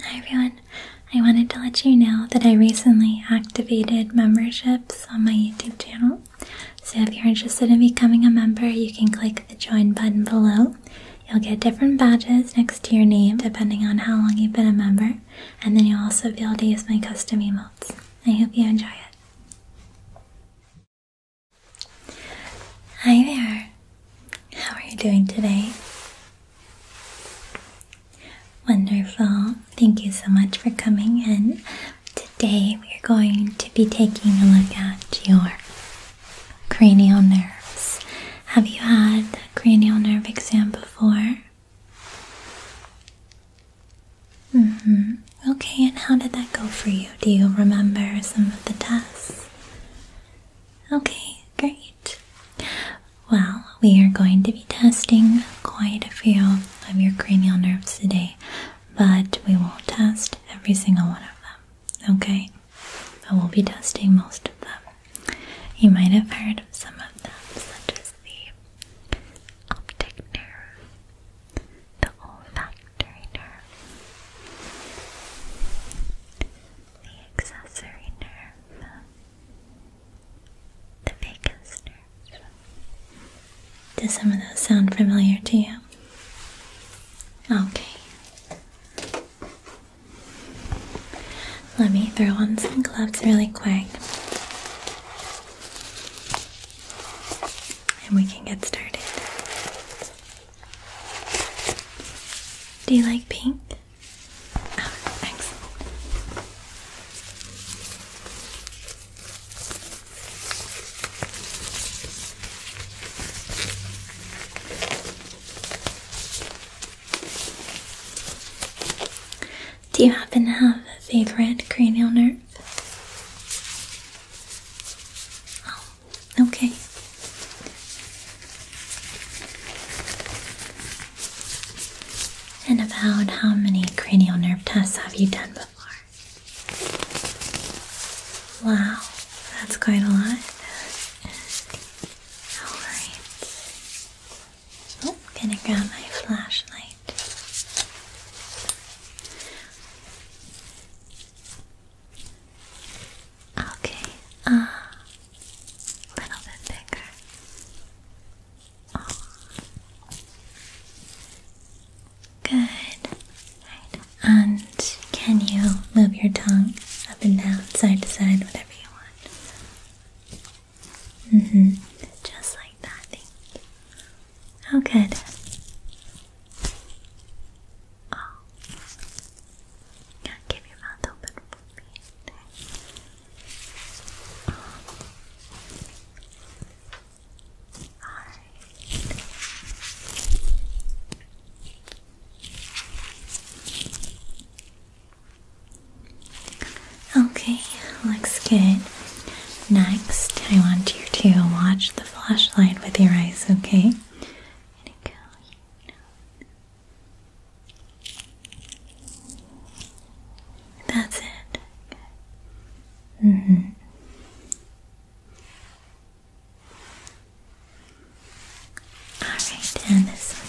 Hi everyone, I wanted to let you know that I recently activated memberships on my YouTube channel. So if you're interested in becoming a member, you can click the join button below. You'll get different badges next to your name depending on how long you've been a member, and then you'll also be able to use my custom emotes. I hope you enjoy it. Hi there, how are you doing today? Wonderful. Thank you so much for coming in. Today we're going to be taking a look at your cranial nerves. Have you had a cranial nerve exam before? hmm Okay, and how did that go for you? Do you remember some of the tests? Okay, great. Well, we are going to be testing quite a few of your cranial nerves today, but we won't test every single one of them, okay? But we'll be testing most of them. You might have heard of some of them, such as the optic nerve, the olfactory nerve, the accessory nerve, the vagus nerve. Does some of those sound familiar to you? Okay. Let me throw on some gloves really quick. And we can get started. Do you like pink? Oh, Do you happen to have a favorite cranial nerve? Oh, Okay. And about how many cranial nerve tests have you done before? Wow, that's quite a lot. Alright. Oh, gonna grab my flashlight. Okay, a uh, little bit bigger. Oh. Good. And can you move your tongue up and down, side to side, whatever you want? Mm hmm. Just like that, Oh, good. Oh. Yeah, keep your mouth open for me. Okay. Oh. Alright. Okay, looks good. Next, I want you to watch the flashlight with your eyes, okay? That's it. hmm Alright, and this one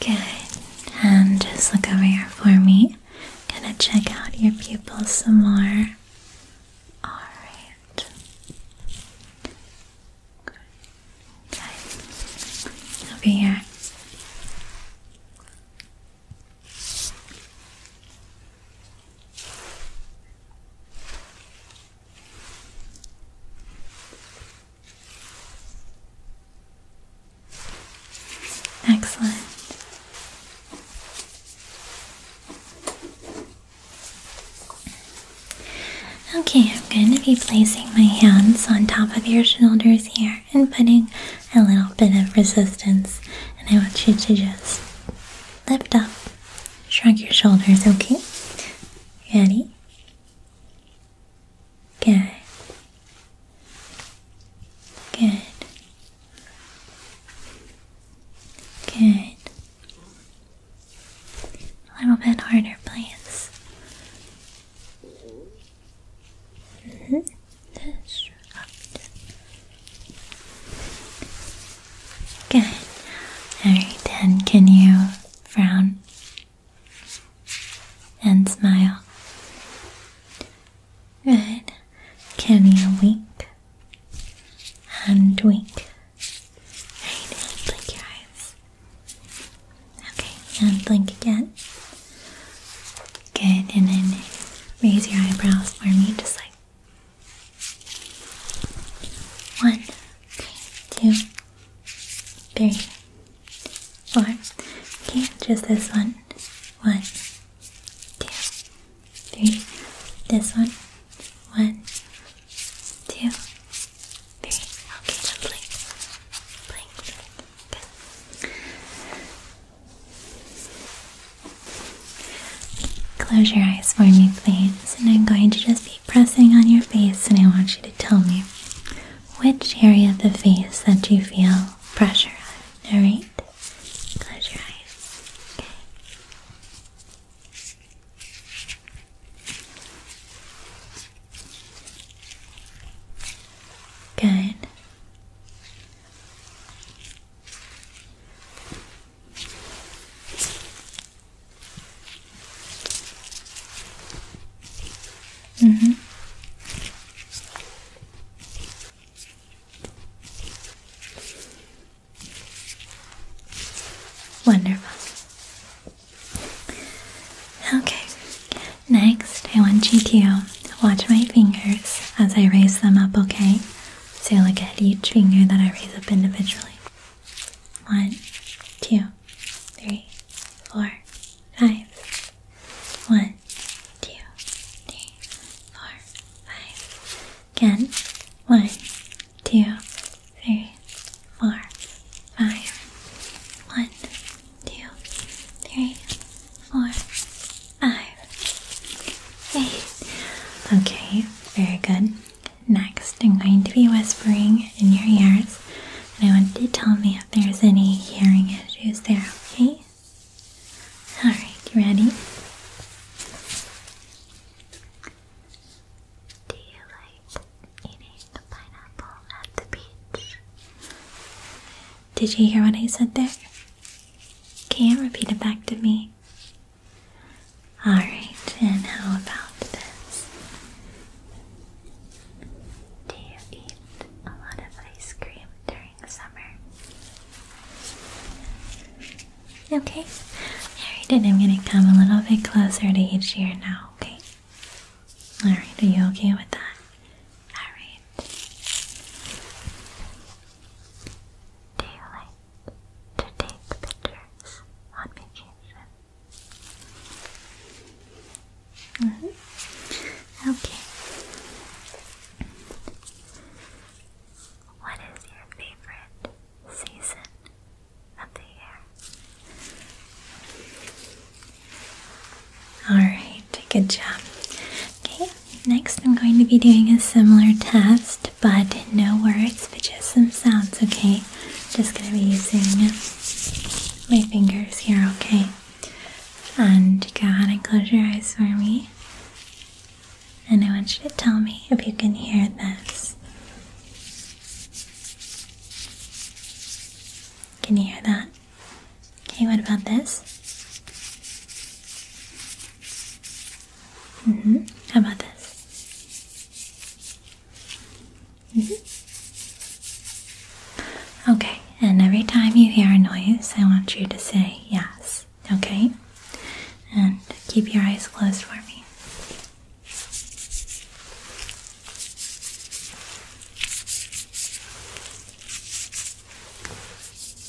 Good. And just look over here for me. Gonna check out your pupils some more. Alright. Okay. Over here. Excellent. Okay, I'm going to be placing my hands on top of your shoulders here and putting a little bit of resistance. And I want you to just lift up Shrug your shoulders, okay? Ready? Good. Good. Good. A little bit harder, please. -hmm after. Good. Alright, then can you frown and smile? Good. Can you wink and wink? Right, blink your eyes. Okay, and blink again. Good, and then raise your eyebrows for me, just like one, okay, just this one. One, two, three. This one. One, two, three. Okay, just blink, Good. Close your eyes for me, please, and I'm going to just be pressing on your face, and I want you to tell me which area of the face that you feel pressure on. Alright? Close your eyes. Good. Mm-hmm. Wonderful. Okay, next I want you to watch my fingers as I raise them up, okay? So look at each finger that I raise up individually. One, two, three, four, five. One, two, three, four, five. Again. One, two, three, four, five. One, two, three, four, five, ah. eight. Okay, very good. Next, I'm going to be whispering in your ears, and I want you to tell me if there's any hearing issues there, okay? Alright, you ready? Do you like eating a pineapple at the beach? Did you hear what I said there? Can't repeat it back to me. Alright, and how about this? Do you eat a lot of ice cream during the summer? Okay, alright, and I'm gonna come a little bit closer to each ear now, okay? Alright, are you okay with that? Alright. Do you to take pictures on vacation? Mm -hmm. Okay. What is your favorite season of the year? Alright, good job. Okay, Next, I'm going to be doing a similar test, but no words, but just some sounds, okay? Just going to be using my fingers here, okay? And go ahead and close your eyes for me. And I want you to tell me if you can hear this. Can you hear that? Okay, what about this? hmm How about this? hmm Okay, and every time you hear a noise, I want you to say yes, okay? And keep your eyes closed for me.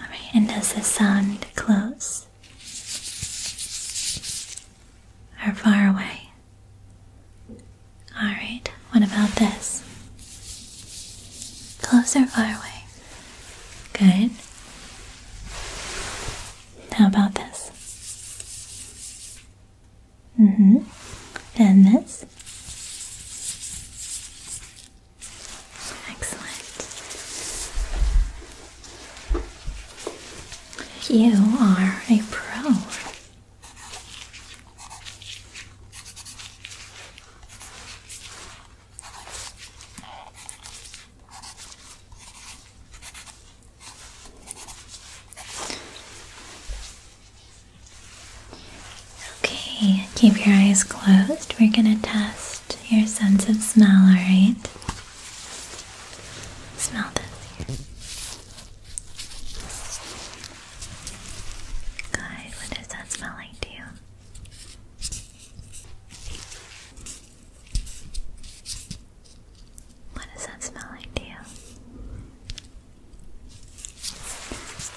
All right, and does the sound close or far away? Alright, what about this? Closer, far away? Good. How about this? Mm-hmm. And this? Excellent. You are a pro. Okay, keep your eyes closed. We're going to test your sense of smell, alright? Smell this. God, what does that smell like to you? What does that smell like to you?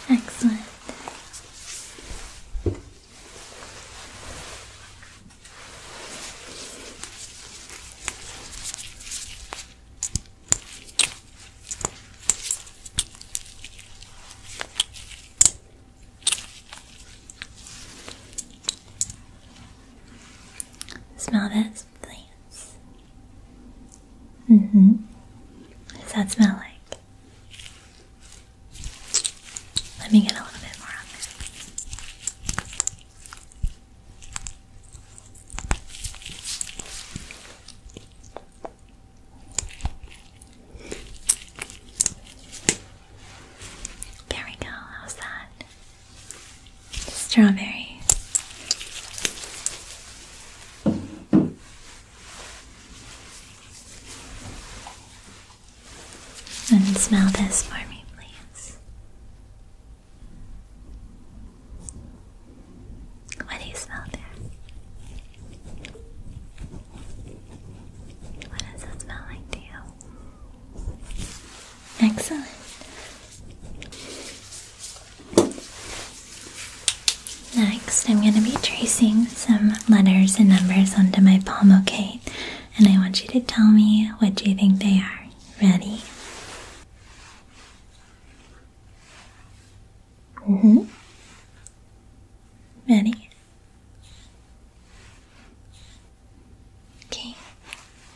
Excellent. Smell this, please. Mm-hmm. What does that smell like? Let me get a little bit more on that. There we go, how's that? Strawberry. And smell this for me, please. What do you smell there? What does it smell like to you? Excellent. Next, I'm going to be tracing some letters and numbers onto my palm, okay? And I want you to tell me what you think they are. Ready? Mm-hmm. Many. Okay,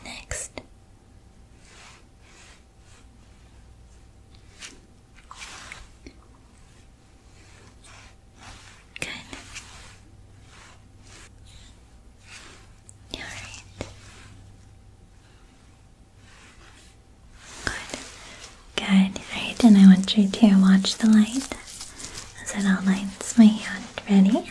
next. Good. All right. Good. Good. Alright, and I want you to watch the light as it all lights my hand. Ready?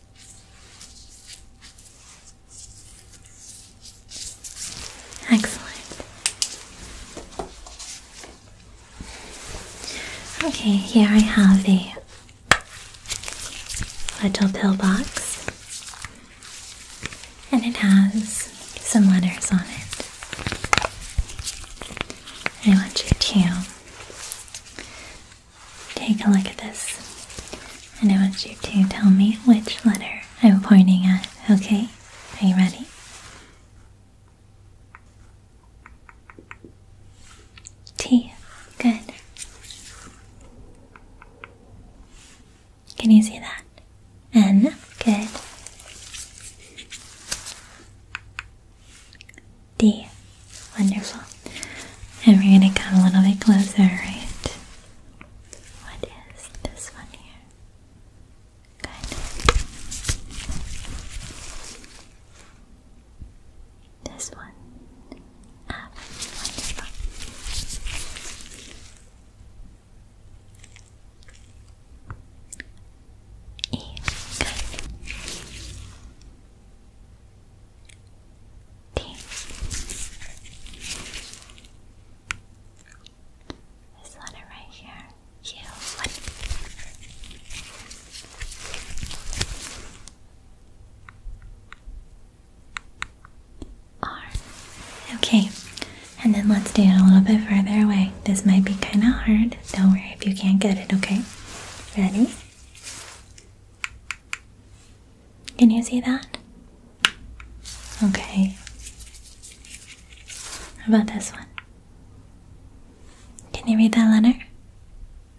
Excellent. Okay, here I have a little pill box, and it has some letters on it. I want you to Take a look at this. And I want you to tell me which letter I'm pointing at, okay? Are you ready? T. Good. Can you see that? N. Good. D. Wonderful. And we're going to come a little bit closer, right? What is this one here? Good. This one. Ah, T. This one right here. You Okay, and then let's do it a little bit further away. This might be kind of hard. Don't worry if you can't get it, okay? Ready? Can you see that? Okay. How about this one? Can you read that letter?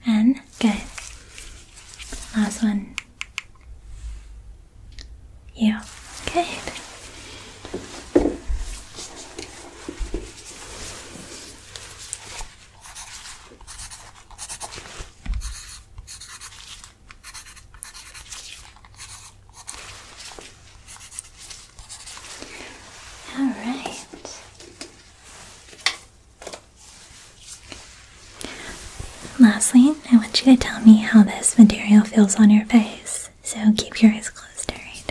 N? Good. Last one. You. Okay. All right. Lastly, I want you to tell me how this material feels on your face. So keep your eyes closed, alright?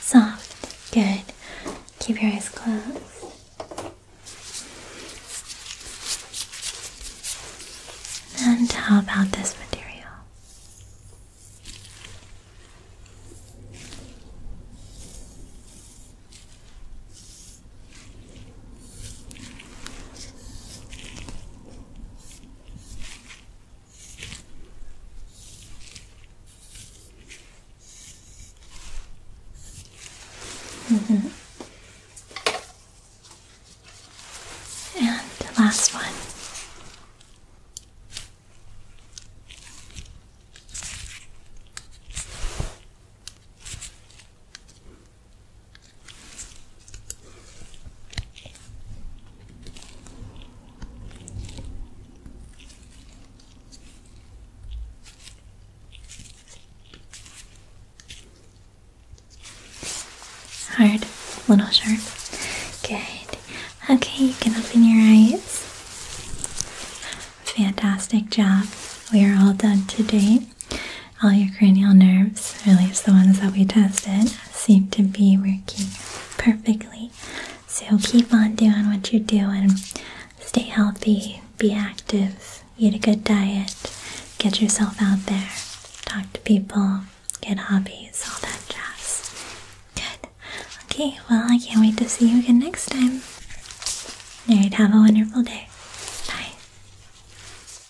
Soft. Good. Keep your eyes closed. And how about this material? Mm-hmm. And the last one. Hard, little sharp. Good. Okay, you can open your eyes. Fantastic job. We are all done today all your cranial nerves, at least the ones that we tested, seem to be working perfectly. So keep on doing what you're doing. Stay healthy, be active, eat a good diet, get yourself out there, talk to people, get hobbies, all that jazz. Good. Okay, well, I can't wait to see you again next time. Alright, have a wonderful day. Bye.